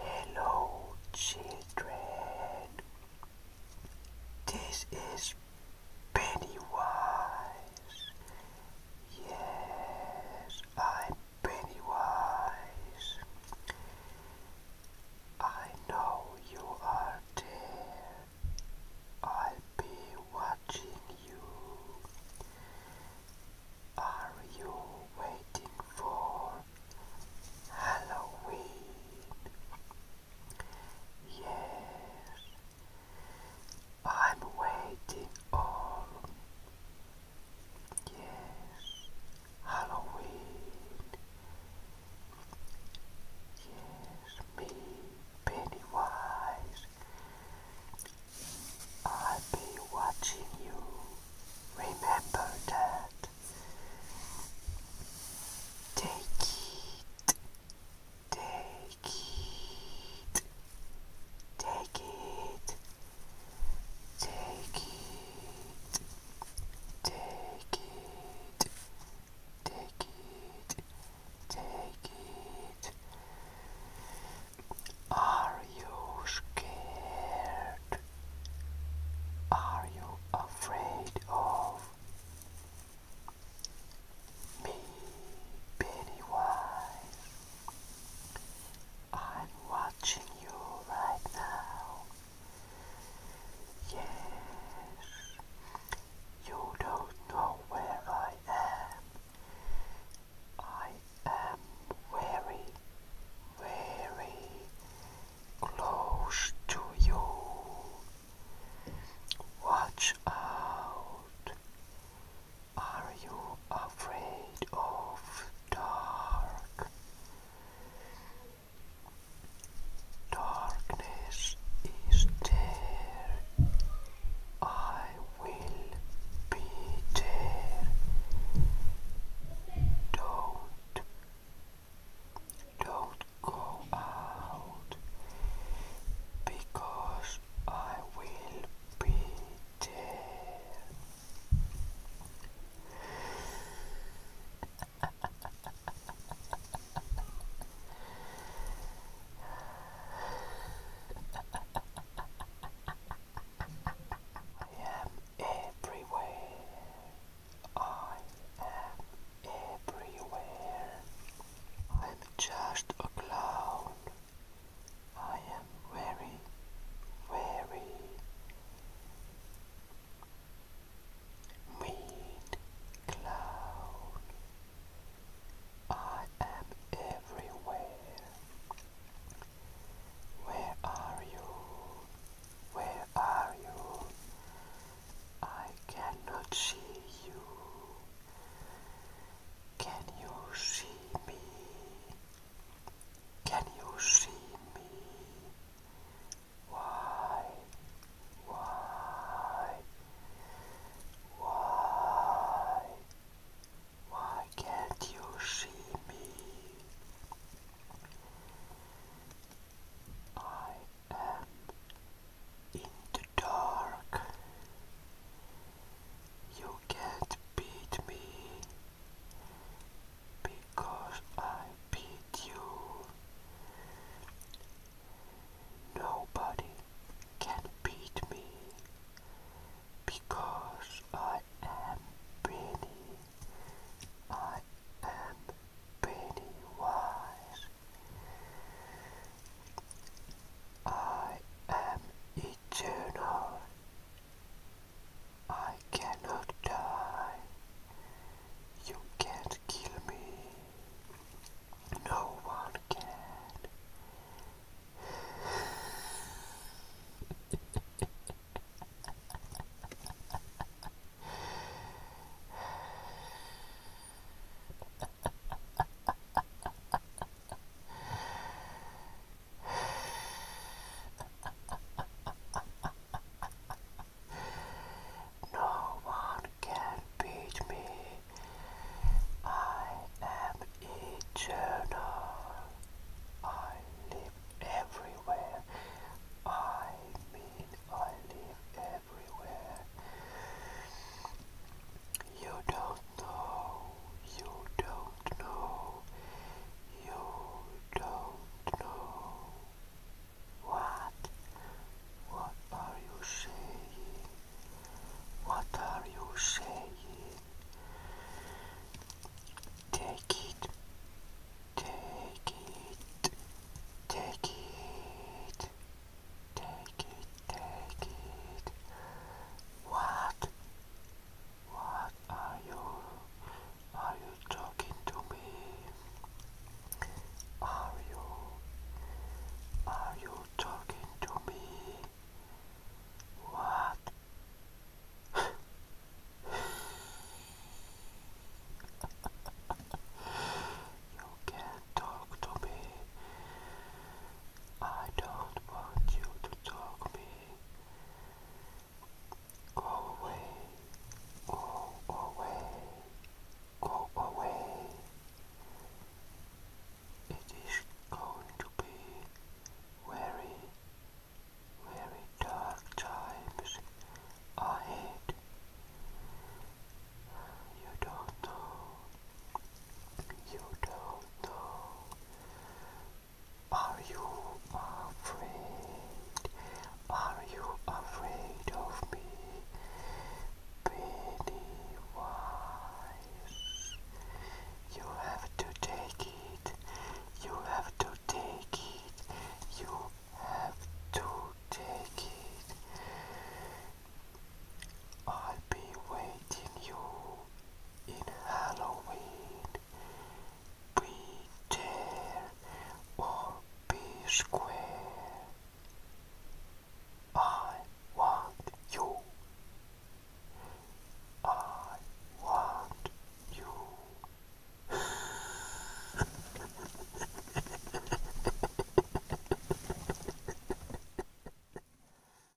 Hello, children. This is Pennywise. Yes, I'm Pennywise. I know you are there. I'll be watching you. Are you waiting for Halloween? Yes, I'm waiting on yes Halloween yes me Pennywise I'll be watching you remember that take it it, take it, take it, take it, take it, take it. Are you scared? Are you afraid of me, Pennywise? I'm watching you right now. Yes, you don't know where I am. I am very, very close to you. Watch out. Are you afraid of dark? Darkness is there. I will be there. Don't, don't go out because I will be did. I am everywhere. I am everywhere. I'm just a clown I am very, very mean clown. I am everywhere. Where are you? Where are you? I cannot see you. Can you see me? Can you see me? Why? Why? Why? Why can't you see me? I am in the dark. You can't beat me because I beat you. Nobody can beat me because I am Benny. I am Benny Wise. I am eternal. I cannot die. You can't kill me. No one can. no one can beat me. I am eternal. I live everywhere. I mean, I live everywhere. You don't know, you don't know, you don't know. What? What are you saying? What are you saying? Take it, take it, take it, take it, take it. What? What are you? Are you talking to me? Are you? Are you talking to me? What? you can't talk to me. I don't want you to talk me. Go away. Go away. Go away. It is going to be very, very dark times ahead. You don't know you don't know. Are you afraid? Are you afraid of me? Pennywise. You have to take it. You have to take it. You have to take it. I'll be waiting you in Halloween. Be there or be square. I want you. I want you.